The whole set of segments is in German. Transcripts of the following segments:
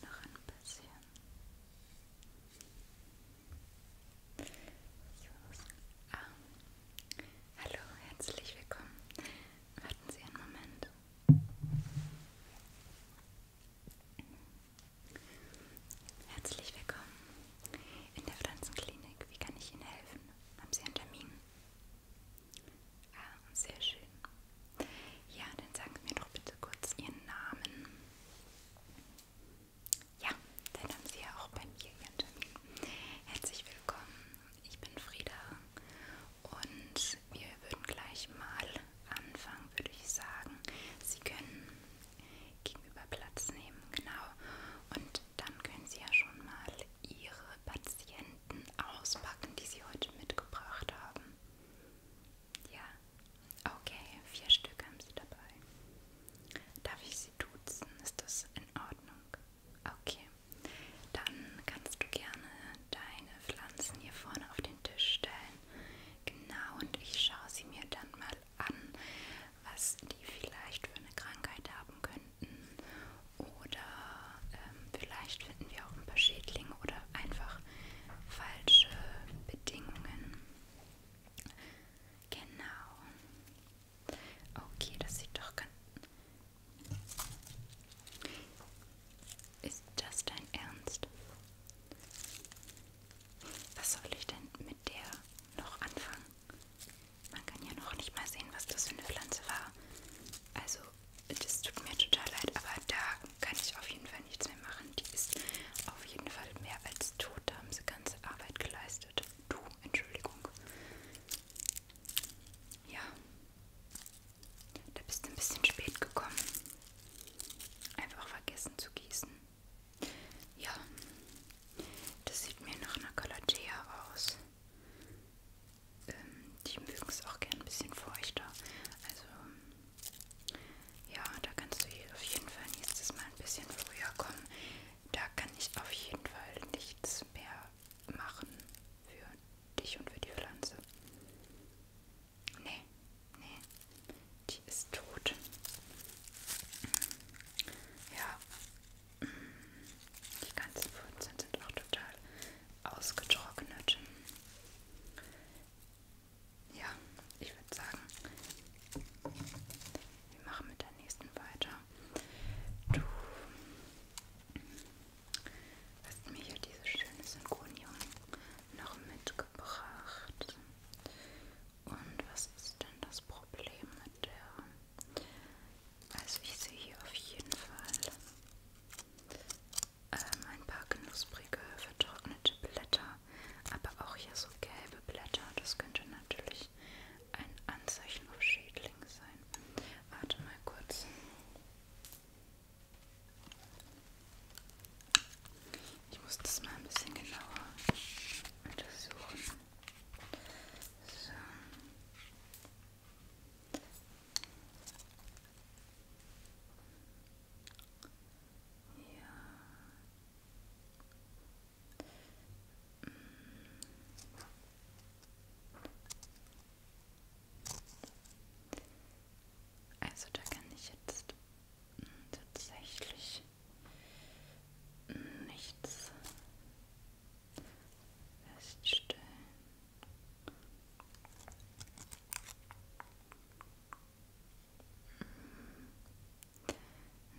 Noch ein bisschen. So. Ah. Hallo, herzlich willkommen. Warten Sie einen Moment. Herzlich willkommen in der Pflanzenklinik. Wie kann ich Ihnen helfen? Haben Sie einen Termin? Ah, sehr schön. Ja, dann sagen Sie mir doch bitte kurz Ihren Namen. Ja, dann haben Sie ja auch bei mir Ihren Termin. Herzlich willkommen, ich bin Frieda und wir würden gleich mal anfangen, würde ich sagen. Sie können gegenüber Platz nehmen, genau. Und dann können Sie ja schon mal Ihre Patienten auspacken, die Sie heute mitgebracht haben. Ja, okay, vier Stück haben Sie dabei. Darf ich Sie duzen? Ist das in Ordnung? Okay, dann kannst du gerne deine Pflanzen hier vorne auf den Tisch stellen. Genau, und ich schaue sie mir dann mal an, was die vielleicht für eine Krankheit haben könnten. Oder ähm, vielleicht finden wir auch ein paar Schädlinge oder einfach falsche Bedingungen. Genau. Okay, das sieht doch ganz... Ist das dein Ernst? Was soll ich denn mit der noch anfangen? Man kann ja noch nicht mal sehen, was das für eine Pflanze war. Also das tut mir total leid, aber da kann ich auf jeden Fall nichts mehr machen. Die ist auf jeden Fall mehr als tot. Da haben sie ganze Arbeit geleistet. Du, Entschuldigung. Ja. Da bist du ein bisschen spät gekommen. Einfach vergessen zu gießen. Ja. Das sieht mir nach einer Calathea aus. Ähm, die mögen es auch gern ein bisschen feuchter. Also ja, da kannst du auf jeden Fall nächstes Mal ein bisschen früher kommen. Da kann ich auf jeden Fall nichts mehr machen für dich und für die Pflanze. Nee, nee, die ist tot. Ja, die ganzen Pflanzen sind auch total ausgetrocknet. Ja, ich würde sagen, wir machen mit der nächsten weiter. Du hast mir hier diese schöne Synchronium noch mitgebracht. Und was ist denn das Problem mit der? Also ich sehe hier auf jeden Fall ähm, ein paar knusprige, vertrocknete Blätter, aber auch hier so gelbe Blätter. Das könnte natürlich ein Anzeichen auf Schädling sein. Warte mal kurz. Ich muss das mal ein bisschen genauer untersuchen. So. Ja. Also da kann ich jetzt tatsächlich nichts feststellen.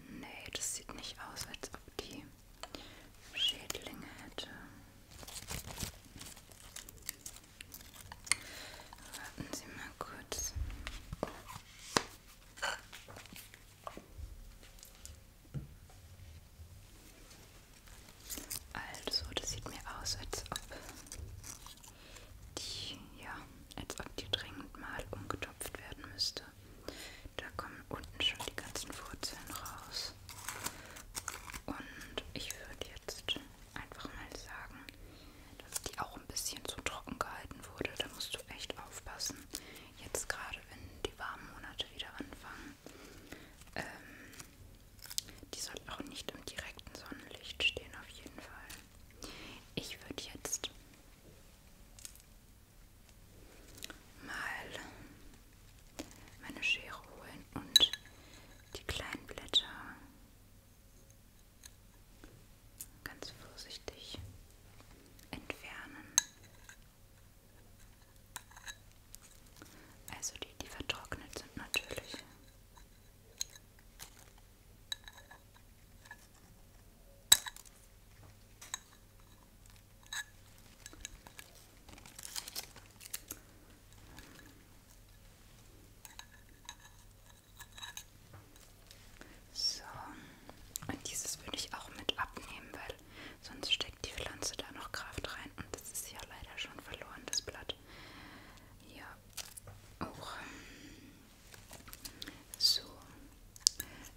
Nee, das sieht nicht aus, als ob die Schädlinge hätte. Warten Sie mal kurz. Also, das sieht mir aus, als ob die, ja, als ob die dringend mal umgetopft werden müsste. Da kommen unten schon die ganzen Wurzeln raus. Und ich würde jetzt einfach mal sagen, dass die auch ein bisschen zu trocken gehalten wurde. Da musst du echt aufpassen. Jetzt gerade, wenn die warmen Monate wieder anfangen, ähm, die sollten auch nicht im direkten Sonnenlicht stehen, auf jeden Fall. Ich würde jetzt mal meine Schere holen und die kleinen Blätter ganz vorsichtig entfernen. Also die, die vertrocknet sind natürlich. So, und dieses würde ich auch mit abnehmen, weil sonst steckt die Pflanze da noch Kraft rein und das ist ja leider schon verloren, das Blatt hat. Ja, auch ähm, so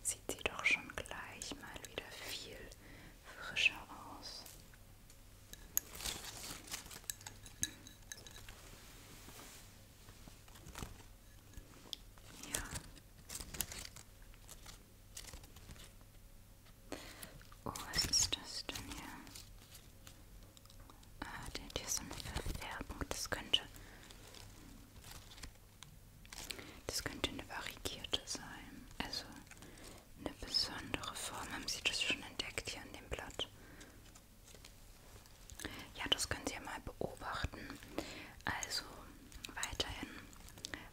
sieht sie doch schon gleich mal wieder viel frischer aus. Ja. Oh, was ist das denn hier? Ah, der hat hier so eine Verfärbung. Das könnte. Das könnte eine varigierte sein. Also eine besondere Form. Haben Sie das schon entdeckt hier an dem Blatt? Ja, das können Sie ja mal beobachten. Also weiterhin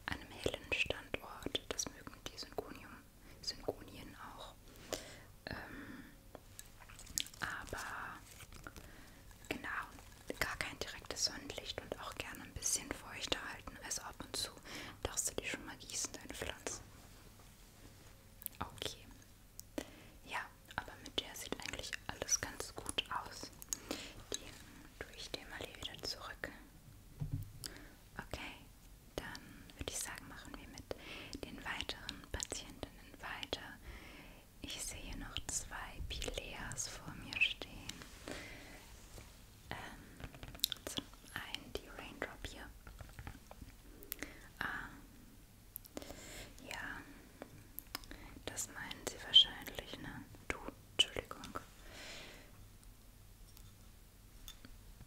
an einem hellen Standort. Das mögen die Synconium Synchronien auch. Ähm, aber genau, gar kein direktes Sonnenlicht und auch gerne ein bisschen feuchter halten. Also ab und zu darfst du die schon mal gießen, deine Pflanzen. Okay. Ja, aber mit der sieht eigentlich alles ganz gut aus. Den tue ich dir mal hier wieder zurück. Okay. Dann würde ich sagen, machen wir mit den weiteren Patientinnen weiter. Ich sehe noch zwei Pileas vor mir stehen. Ähm, zum einen die Raindrop hier. Ah, ja, das meinen Sie wahrscheinlich, ne? Du, Entschuldigung.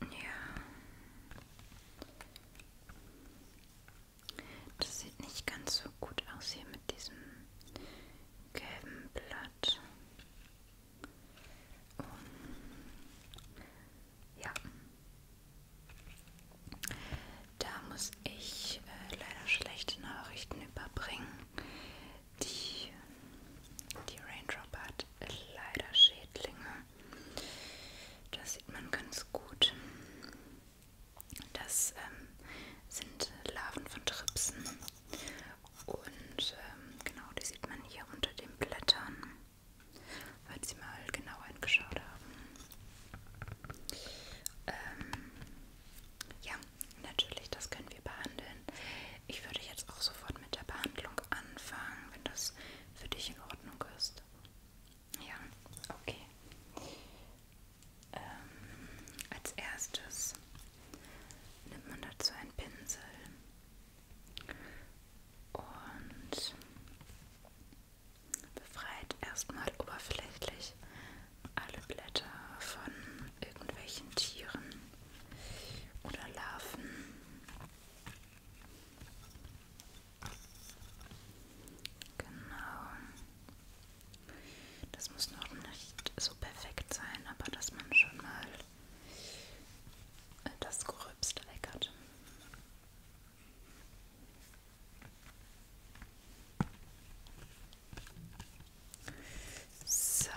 Ja. Das sieht nicht ganz so gut aus hier mit diesem gelben Blatt. Um, ja. Da muss ich äh, leider schlechte Nachrichten überbringen. Die die Raindrop hat leider Schädlinge. Das sieht man ganz gut. Das ähm, sind Larven von Tripsen. Und ähm, genau, die sieht man hier unter den Blättern, weil sie mal genau hingeschaut haben. Ähm, ja, natürlich, das können wir behandeln. Ich würde jetzt auch sofort mit der Behandlung anfangen, wenn das für dich in Ordnung ist. Ja, okay. Ähm, als erstes nimmt man dazu einen Pinsel und befreit erstmal oberflächlich alle Blätter von irgendwelchen Tieren oder Larven Genau. Das muss noch nicht so perfekt sein, aber dass man schon mal äh, das Gerübste weg hat. So.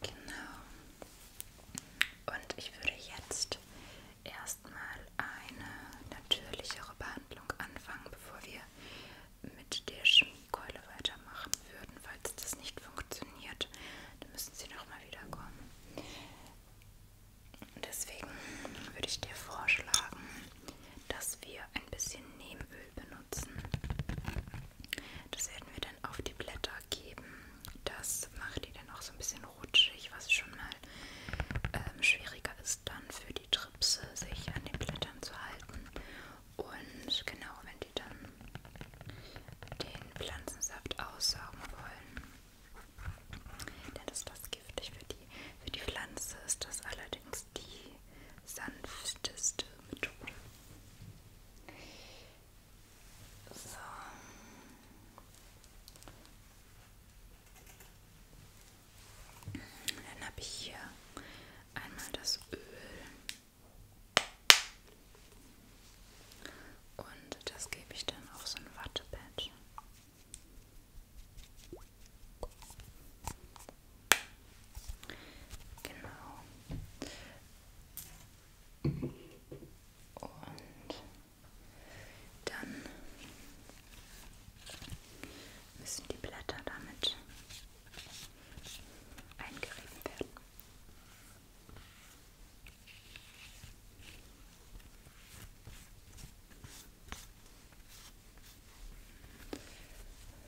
Genau. Und ich würde jetzt erstmal eine natürlichere Behandlung anfangen, bevor wir mit der Chemiekeule weitermachen würden. Falls das nicht funktioniert, dann müssen Sie nochmal wiederkommen. Deswegen würde ich dir vorschlagen, dass wir ein bisschen Nebenöl Öl benutzen. Das werden wir dann auf die Blätter geben. Das macht die dann auch so ein bisschen rutschig, was schon mal ähm, schwieriger ist dann für die Tripse, sich an den Blättern zu halten. Und genau, wenn die dann den Pflanzensaft aussaugen wollen, dann ist das giftig für die. Für die Pflanze ist das allerdings die sanfteste Methode. So. Dann habe ich hier einmal das Öl und das gebe ich dann auf so ein Wattepad. Genau. Und dann müssen die Blätter damit eingerieben werden.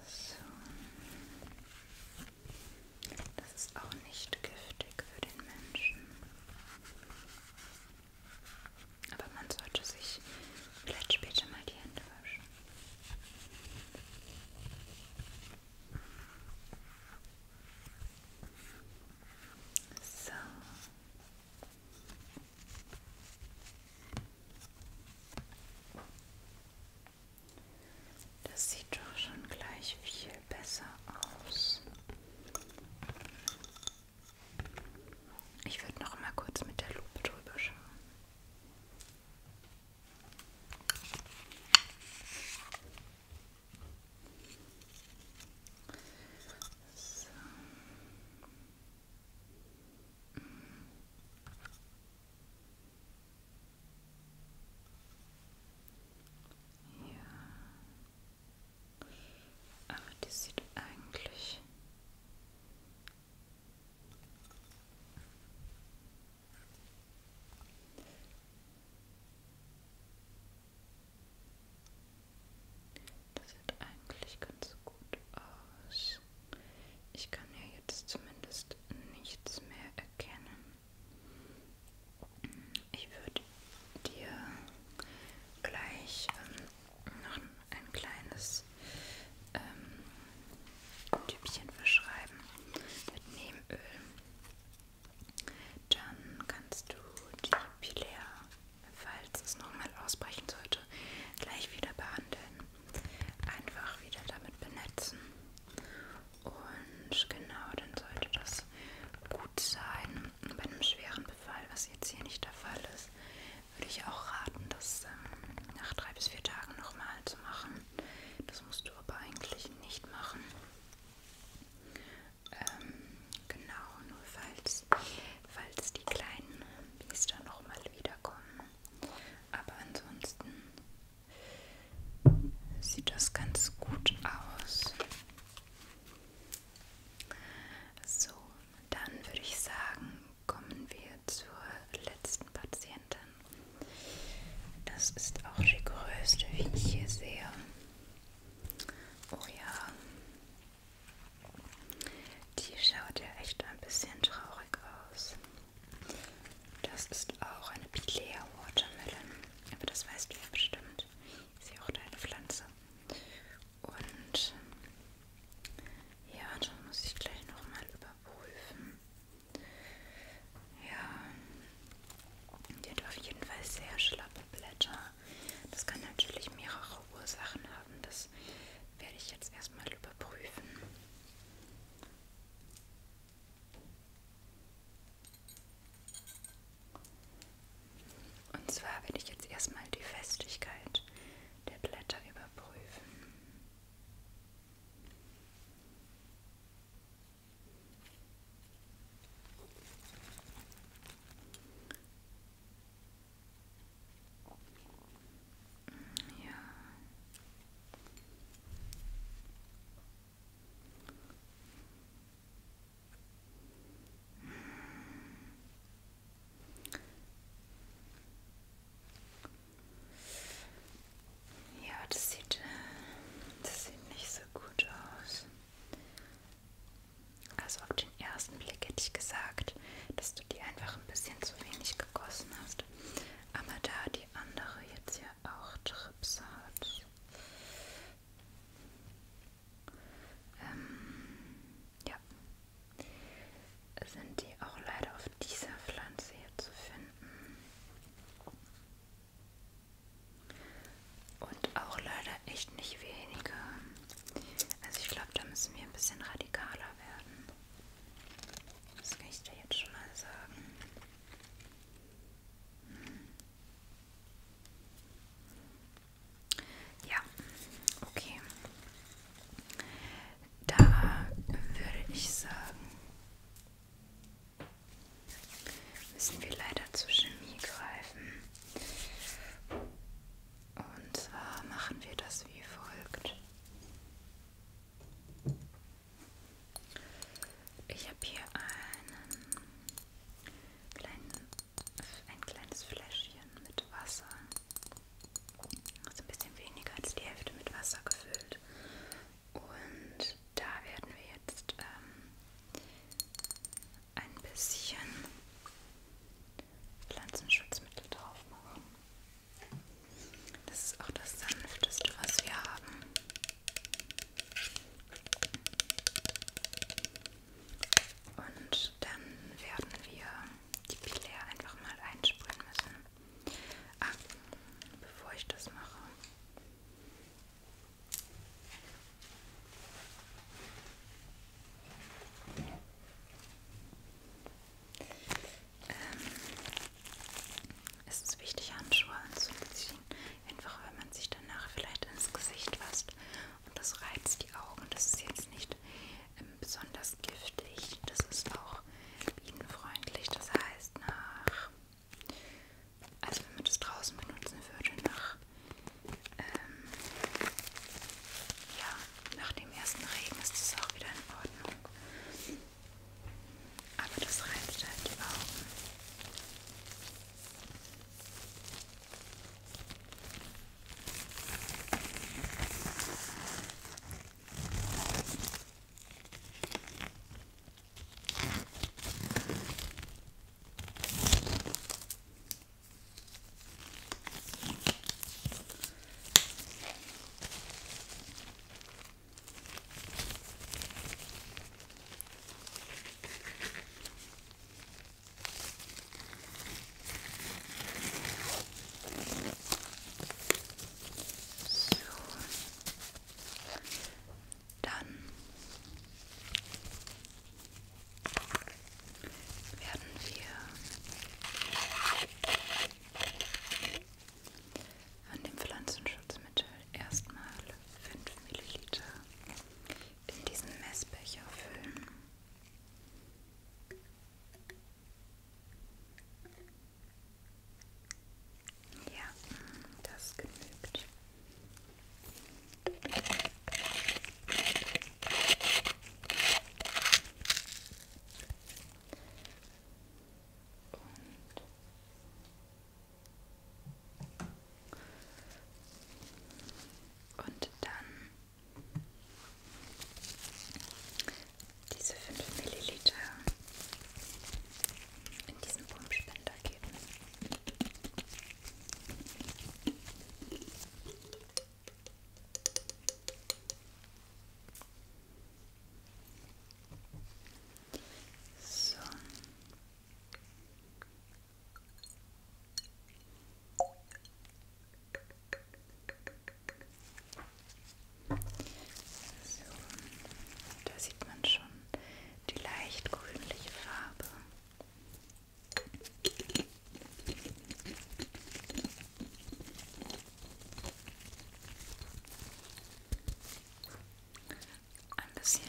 So. Das ist auch nicht giftig für den Menschen. Aber man sollte sich vielleicht später mal die Hände waschen. So. Das sieht doch schon gleich viel besser aus. Ich würde noch mal kurz mit der Lupe drüber schauen. So. Mm. Ja. Aber die sieht eigentlich das sieht eigentlich ganz gut aus. Ich kann ja jetzt zumindest nichts mehr erkennen. Ich würde dir gleich ähm, noch ein kleines ähm, Tübchen verschreiben mit Nebenöl. Dann kannst du die Pilea, falls es nochmal ausbrechen sollte, gleich wieder behandeln einfach wieder damit benetzen. Und genau, dann sollte das gut sein. Bei einem schweren Befall, was jetzt hier nicht der Fall ist, würde ich auch raten, das ähm, nach drei bis vier Tagen nochmal zu machen. Das musst du aber eigentlich nicht machen. Ähm, genau, nur falls, falls die kleinen Biester nochmal wiederkommen. Aber ansonsten sieht das ganz gut aus. So, dann würde ich sagen, kommen wir zur letzten Patientin. Das ist auch die größte, wie ich hier sehe. Oh ja, die schaut ja echt ein bisschen traurig aus. Das ist auch eine Pilea Watermelon, aber das weißt du ja bestimmt. Ist ja auch deine Pflanze. Und ja, das muss ich gleich nochmal überprüfen. Ja, die hat auf jeden Fall sehr schlappe Blätter. Das kann natürlich mehrere Ursachen haben. Das werde ich jetzt erstmal überprüfen. Und zwar werde ich jetzt erstmal die Festigkeit der Blätter überprüfen. Ja. Ja, das sieht, äh, das sieht nicht so gut aus. Also auf den ersten Blick hätte ich gesagt, dass du die einfach ein bisschen zu wenig gegossen hast. Aber da die andere jetzt ja auch Trips hat. Ähm, ja. Sind die auch leider auf dieser Pflanze hier zu finden. Und auch leider echt nicht wenige. Also ich glaube, da müssen wir ein bisschen radikaler werden. Das kann ich dir jetzt schon mal sagen. Hm. Ja, okay. Da würde ich sagen, müssen wir leider zur Chemie greifen. Und zwar machen wir das wie folgt. Ich habe hier einen kleinen, ein kleines Fläschchen mit Wasser. Also ein bisschen weniger als die Hälfte mit Wasser gefüllt. Und da werden wir jetzt ähm, ein bisschen Pflanzenschutzmittel drauf machen. Das ist auch das sanfteste, was wir haben. Und dann werden wir die Pilair einfach mal einsprühen müssen. Ah, bevor ich das mache ähm, ist es wichtig, Handschuhe anzuziehen, einfach weil man sich danach vielleicht ins Gesicht fasst und das reizt die Augen. Das ist jetzt nicht ähm, besonders giftig, das ist auch bienenfreundlich. Das heißt, nach, also wenn man das draußen benutzen würde, nach ähm, ja, nach dem ersten Regen ist es auch wieder in Ordnung. Aber das reizt halt die Augen. So. Dann werden wir von dem Pflanzenschutzmittel erstmal 5 ml in diesen Messbecher füllen. Ja, das genügt. Und und dann diese 5 Milliliter in diesen Pumpspender geben. So. So, da sieht man schon die leicht grünliche Farbe ein bisschen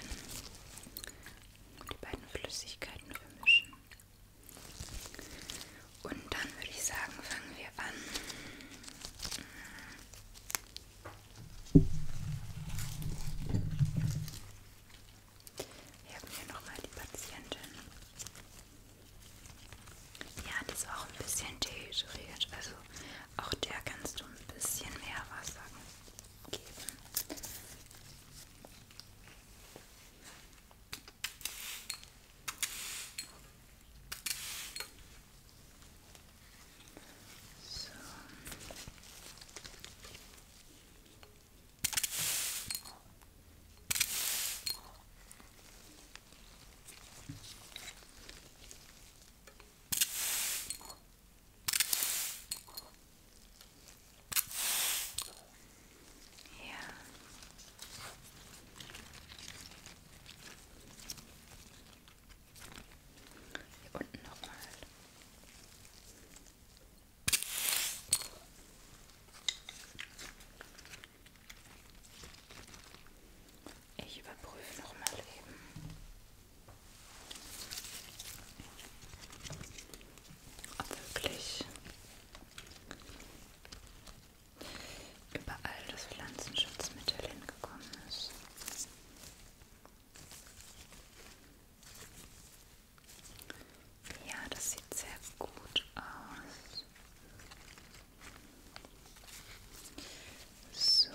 die beiden Flüssigkeiten vermischen. Und dann würde ich sagen, fangen wir an. Wir haben hier nochmal die Patientin. Ja, die ist auch ein bisschen dehydriert. Also auch der kannst du ein bisschen mehr Wasser geben. So. Ja. Hier unten nochmal. Ich überprüfe noch mal eben. Ob wirklich überall das Pflanzenschutzmittel hingekommen ist. Ja, das sieht sehr gut aus. So.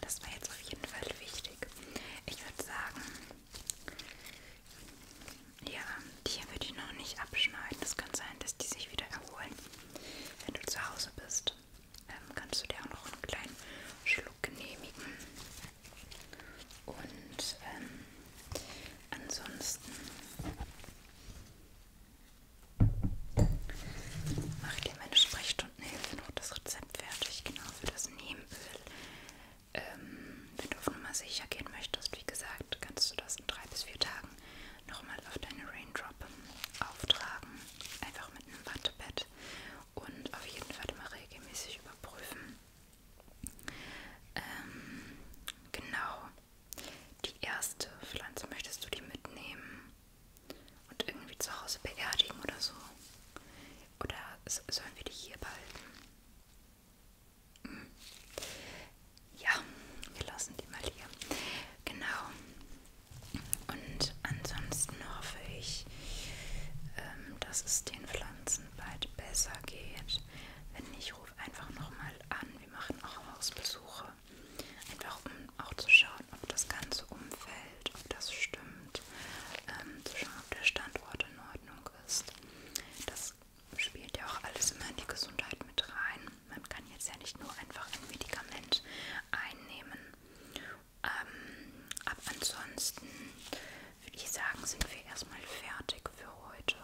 Das war jetzt auf jeden Fall wichtig. Ich würde sagen, ja, hier würde ich noch nicht abschneiden. Es kann sein, dass die sich wieder erholen. Wenn du zu Hause bist, ähm, kannst du dir auch noch einen kleinen Schluck genehmigen. Und ähm, ansonsten mache ich dir meine Sprechstundenhilfe noch das Rezept fertig, genau für das Nebenöl. Ähm, wenn du auf Nummer sicher gehen möchtest, wie gesagt, kannst du das in drei bis vier Tagen nochmal auf deine Raindrop auftragen. Einfach mit einem Wattepad und auf jeden Fall immer regelmäßig überprüfen. Ähm, genau. Die erste Pflanze möchtest du die mitnehmen und irgendwie zu Hause beerdigen oder so? Oder sollen wir die hier behalten? Hm. Ja, wir lassen die mal hier. Genau. Und ansonsten hoffe ich, ähm, dass es den Pflanzen Katzen bald besser geht. Wenn nicht, ruf einfach nochmal an. Wir machen auch Hausbesuche. Einfach um auch zu schauen, ob das Ganze umfällt, ob das stimmt. Ähm, zu schauen, ob der Standort in Ordnung ist. Das spielt ja auch alles immer in die Gesundheit mit rein. Man kann jetzt ja nicht nur einfach ein Medikament einnehmen. Ähm, aber ansonsten würde ich sagen, sind wir erstmal fertig für heute.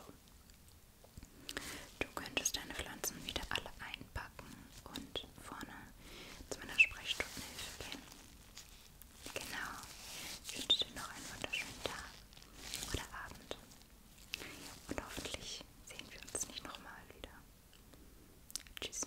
Du könntest deine Pflanzen wieder alle einpacken und vorne zu meiner Sprechstundenhilfe gehen. Genau. Ich wünsche dir noch einen wunderschönen Tag oder Abend. Und hoffentlich sehen wir uns nicht nochmal wieder. Tschüss.